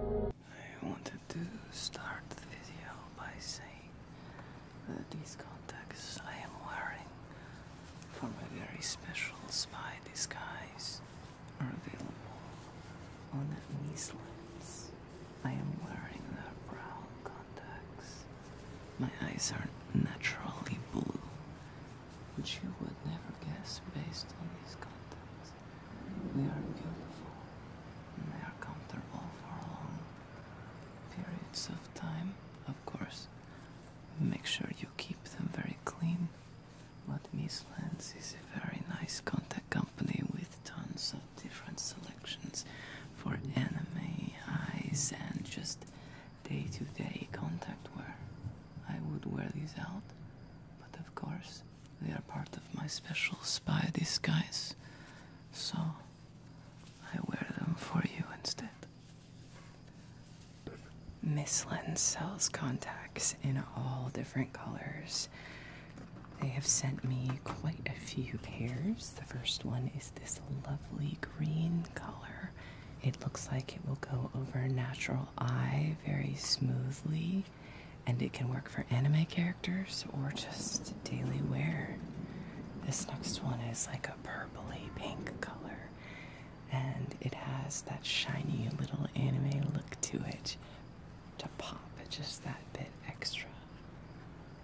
I wanted to start the video by saying that these contacts I am wearing for my very special spy disguise are available on Nislens. I am wearing the brown contacts. My eyes are naturally blue, which you would never guess based on these contacts. They are beautiful, and they are comfortable for long periods of time, of course. Make sure you keep them very clean. But Miss Lens is a very nice contact company with tons of different selections for anime, eyes, and just day to day contact wear. I would wear these out, but of course, they are part of my special spy disguise, so I wear them for you instead. Miss Lynn sells contacts in all different colors. They have sent me quite a few pairs. The first one is this lovely green color. It looks like it will go over natural eye very smoothly, and it can work for anime characters or just daily wear. This next one is like a purpley pink color, and it has that shiny little anime look to it to pop just that bit extra.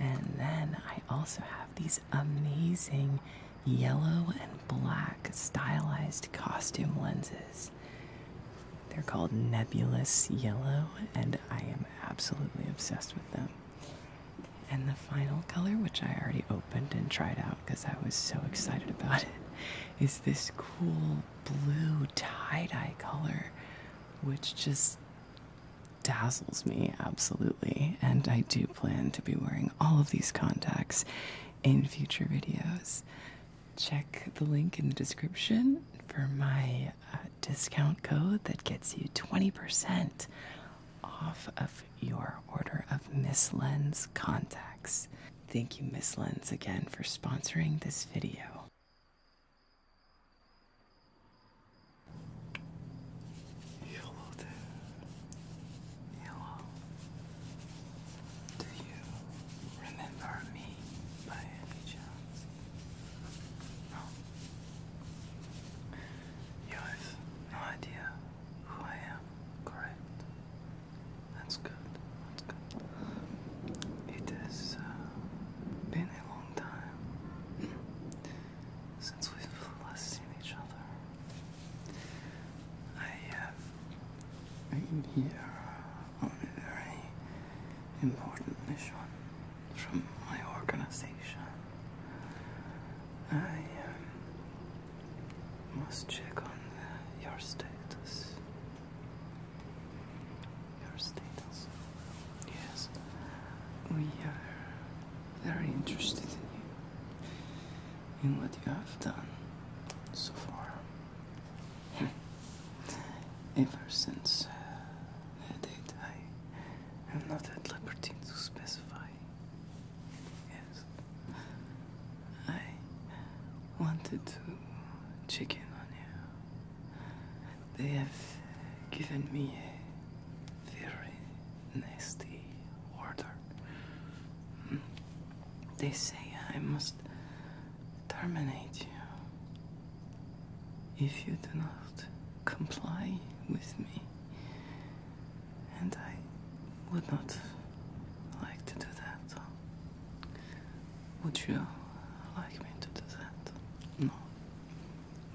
And then I also have these amazing yellow and black stylized costume lenses. They're called Nebulous Yellow, and I am absolutely obsessed with them. And the final color, which I already opened and tried out because I was so excited about it, is this cool blue tie dye color, which just dazzles me absolutely, and I do plan to be wearing all of these contacts in future videos. Check the link in the description for my uh, discount code that gets you 20% off of your order of Miss Lens contacts. Thank you, Miss Lens, again for sponsoring this video. Hello there. Hello. Do you remember me by any You have no idea who I am, correct? That's good. That's good. It has uh, been a long time since we've last seen each other. I am um, here uh, on a very important mission from my organization. I um, must check on uh, your status. Your status. Yes, we are very interested in you, in what you have done so far. Ever since that uh, date, I am not at liberty to specify. Yes, I wanted to check in on you they have given me a very nasty order. Hmm. They say I must terminate you if you do not comply with me. And I would not like to do that. Would you like me to do that? No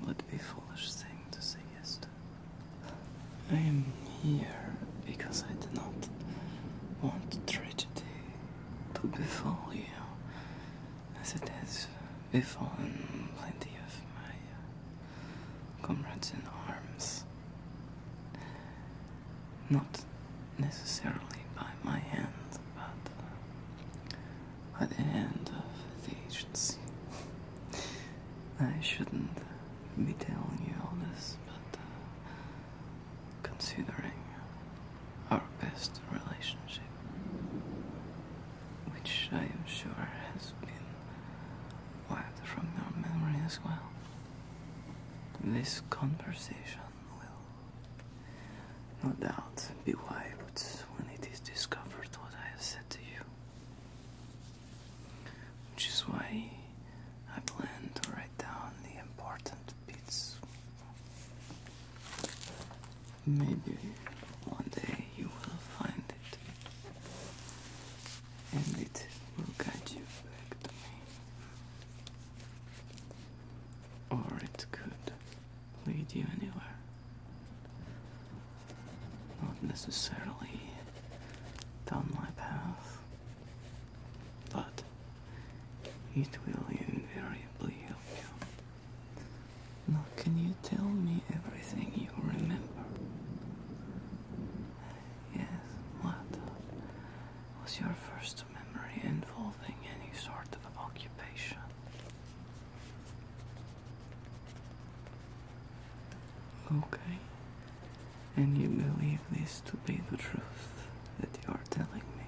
would be foolish thing to say yes to. I am here because I do not want tragedy to befall you, as it has befallen plenty of my comrades in arms. Not necessarily by my hand, but by the end of the agency. I shouldn't be telling you all this, but uh, considering our best relationship, which I am sure has been wiped from your memory as well, this conversation will no doubt be wiped when it is discovered what I have said to you. Which is why I plan to write down the important bits. Maybe one day you will find it, and it will guide you back to me. Or it could lead you anywhere. Not necessarily down my path, but it will invariably help you. Now, can you tell me everything you remember? Yes, what was your first memory involving any sort of occupation? Okay. And you believe this to be the truth that you are telling me?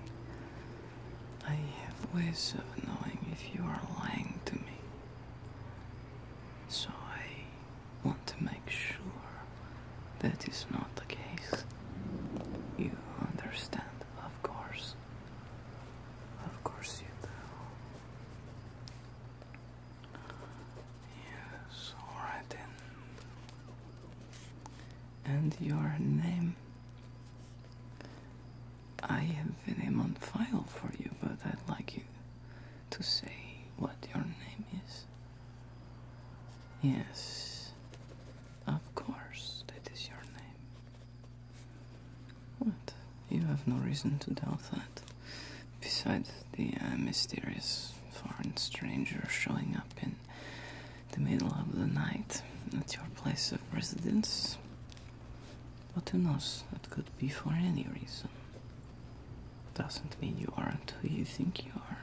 I have ways of knowing if you are lying to me. So I want to make sure that is not the case. You understand, of course. Of course you do. Yes, alright then. And your name? I have a name on file for you, but I'd like you to say what your name is. Yes, of course, that is your name. What? You have no reason to doubt that. Besides the uh, mysterious foreign stranger showing up in the middle of the night at your place of residence, but who knows? It could be for any reason. Doesn't mean you aren't who you think you are.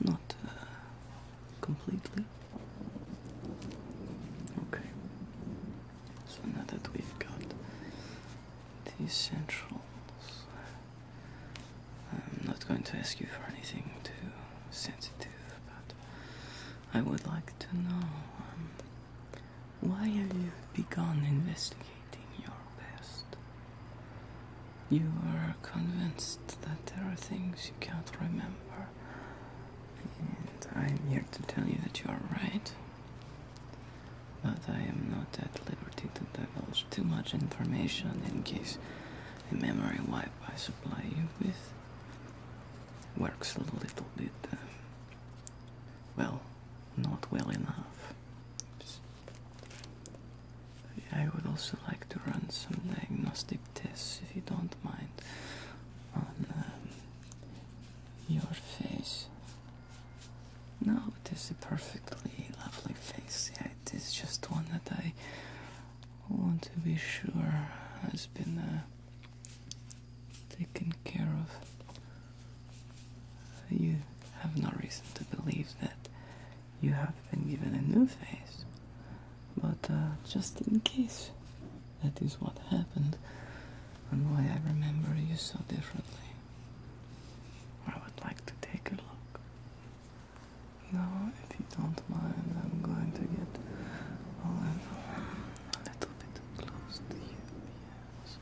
Not uh, completely. Okay. So now that we've got the centrals, I'm not going to ask you for anything too sensitive, but I would like to know um, why have you begun investigating your past? You are convinced that there are things you can't remember. I'm here to tell you that you are right. But I am not at liberty to divulge too much information in case the memory wipe I supply you with works a little bit, uh, well, not well enough. I would also like to run some diagnostic this, if you don't mind, on um, your face. No, it is a perfectly lovely face. it is just one that I want to be sure has been uh, taken care of. You have no reason to believe that you have been given a new face. But uh, just in case that is what happened and why I remember you so differently, I would like to take a look. Now, if you don't mind, I'm going to get a little, bit close to you. Yes,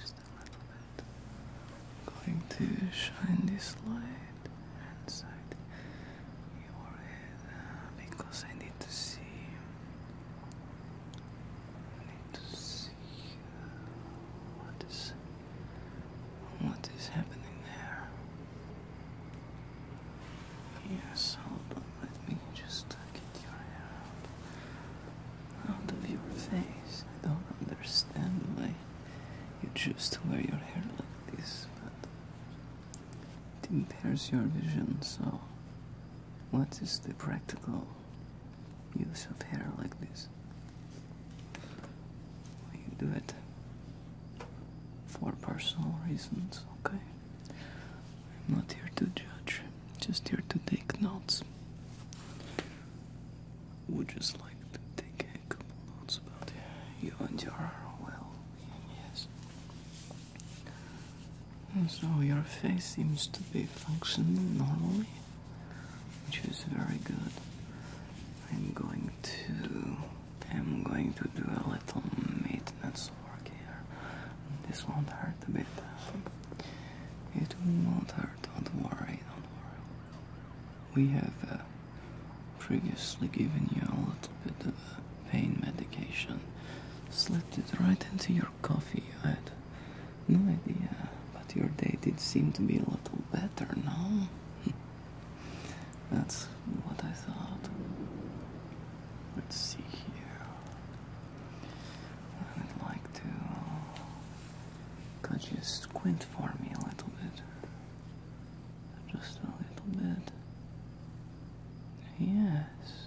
just a little bit. I'm going to shine this light inside uh, because I need to see. I need to see uh, what is what is happening there. Yes, hold Let me just get your hair out, of your face. I don't understand why you choose to wear your hair like this, it impairs your vision, so what is the practical use of hair like this? We do it for personal reasons, okay? I'm not here to judge, just here to take notes. Would just like to take a couple notes about you and your well being, yes. So your face seems to be functioning normally, which is very good. I'm going to I'm going to do a little maintenance work here. This won't hurt a bit. It will not hurt, don't worry, don't worry. We have uh, previously given you a little bit of pain medication. Slipped it right into your coffee. I had no idea, but your day did seem to be a little better, now. That's what I thought. Let's see here. I would like to. Could you squint for me a little bit? Just a little bit. Yes.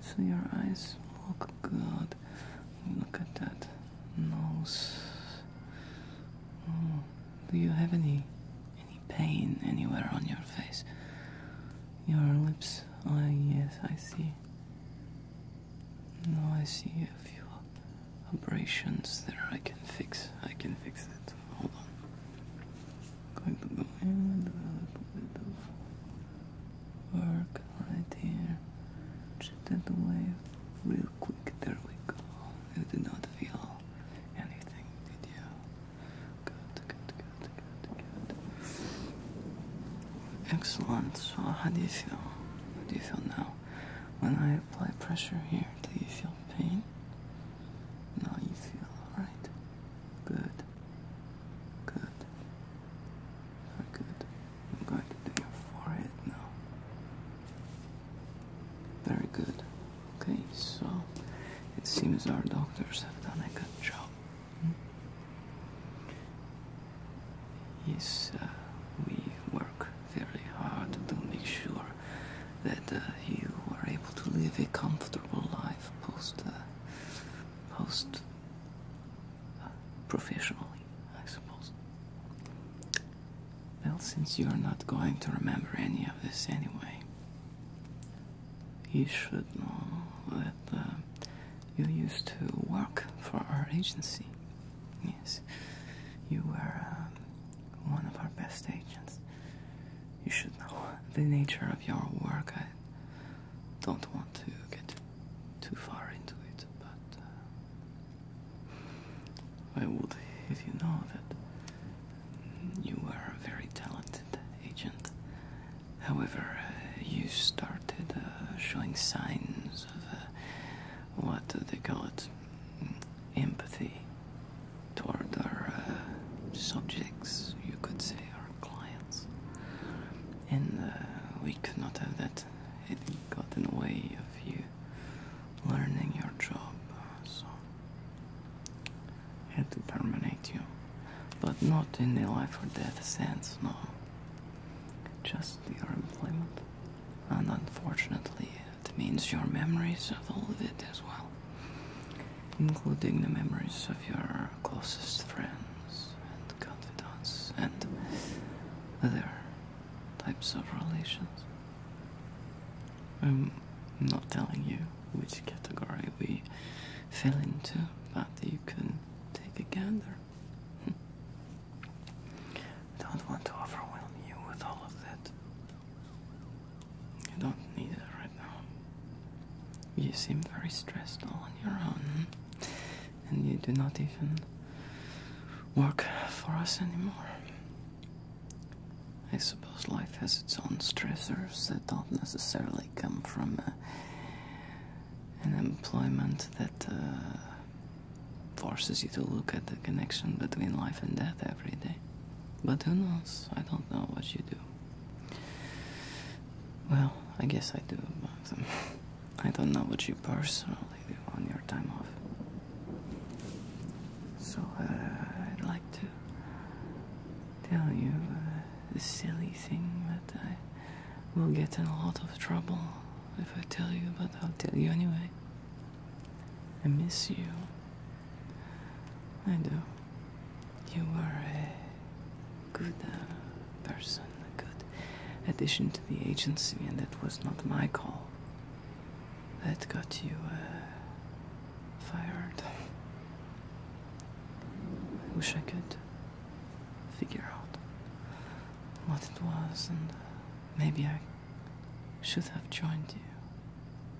So your eyes look good. Look at that nose. Oh, do you have any any pain anywhere on your face? Your lips. Oh yes, I see. No, I see a few abrasions there. I can fix. I can fix it. Hold on. Going to go in with a little bit of work right here. Shift that away real quick. There we go. You did not feel anything, did you? Good, good, good, good, good. Excellent. So how do you feel? How do you feel now? When I apply pressure here, do you feel pain? No, you feel alright. Good. Good. Very good. I'm going to do your forehead now. Very good. Okay, so it seems our doctors have done a good job. Yes, uh, we work very hard to make sure that uh, you are able to live a comfortable life post uh, post uh, professionally, I suppose. Well, since you're not going to remember any of this anyway, you should know that uh, you used to work for our agency. Yes, you were um, one of our best agents. You should know the nature of your work. I don't want to get too far into it, but uh, I would if you know that you are a very talented agent. However, uh, you started uh, showing signs of what they call it? Empathy toward our uh, subjects, you could say, our clients. And uh, we could not have that. It got in the way of you learning your job, uh, so I had to terminate you. But not in a life or death sense, no. Just your employment. And unfortunately, it means your memories of all of it as well including the memories of your closest friends and confidants and other types of relations. I'm not telling you which category we fell into, but you can take a gander. I don't want to overwhelm you with all of that. You don't need it right now. You seem very stressed all on your own, and you do not even work for us anymore. I suppose life has its own stressors that don't necessarily come from uh, an employment that uh, forces you to look at the connection between life and death every day. But who knows? I don't know what you do. Well, I guess I do, but um, I don't know what you personally do on your time off. So uh, I'd like to tell you uh, the silly thing that I will get in a lot of trouble if I tell you, but I'll tell you anyway. I miss you. I do. You are a good uh, person, a good addition to the agency, and that was not my call. That got you uh, fired. I wish I could figure out what it was, and maybe I should have joined you.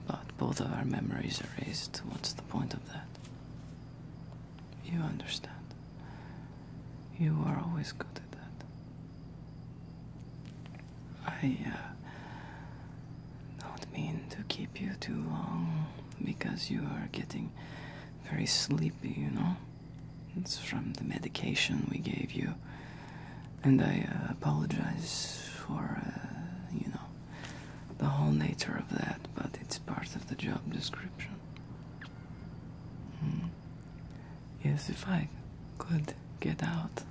But both of our memories erased. What's the point of that? You understand. You are always good at that. I uh, don't mean to keep you too long because you are getting very sleepy, you know? It's from the medication we gave you. And I uh, apologize for, uh, you know, the whole nature of that, but it's part of the job description. Hmm. Yes, if I could get out,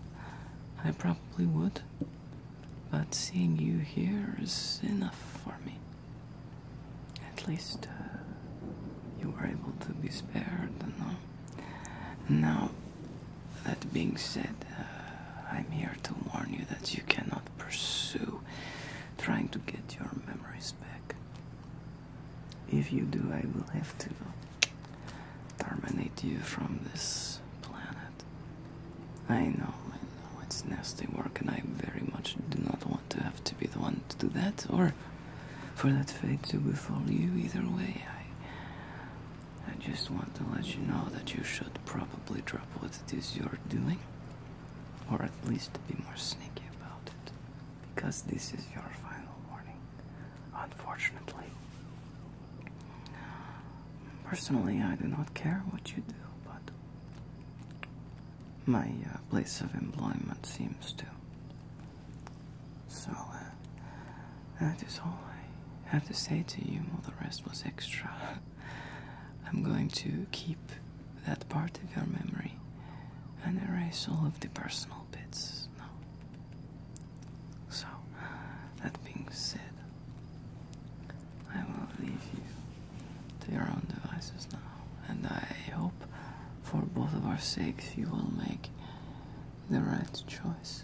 I probably would, but seeing you here is enough for me. At least uh, you were able to be spared, no? Now, that being said, uh, I'm here to warn you that you cannot pursue trying to get your memories back. If you do, I will have to terminate you from this planet. I know, I know, it's nasty work, and I very much do not want to have to be the one to do that, or for that fate to befall you. Either way, I just want to let you know that you should probably drop what it is you're doing, or at least be more sneaky about it, because this is your final warning, unfortunately. Personally, I do not care what you do, but my uh, place of employment seems to. So, uh, that is all I have to say to you, all the rest was extra. I'm going to keep that part of your memory and erase all of the personal bits now. So, that being said, I will leave you to your own devices now. And I hope for both of our sakes you will make the right choice.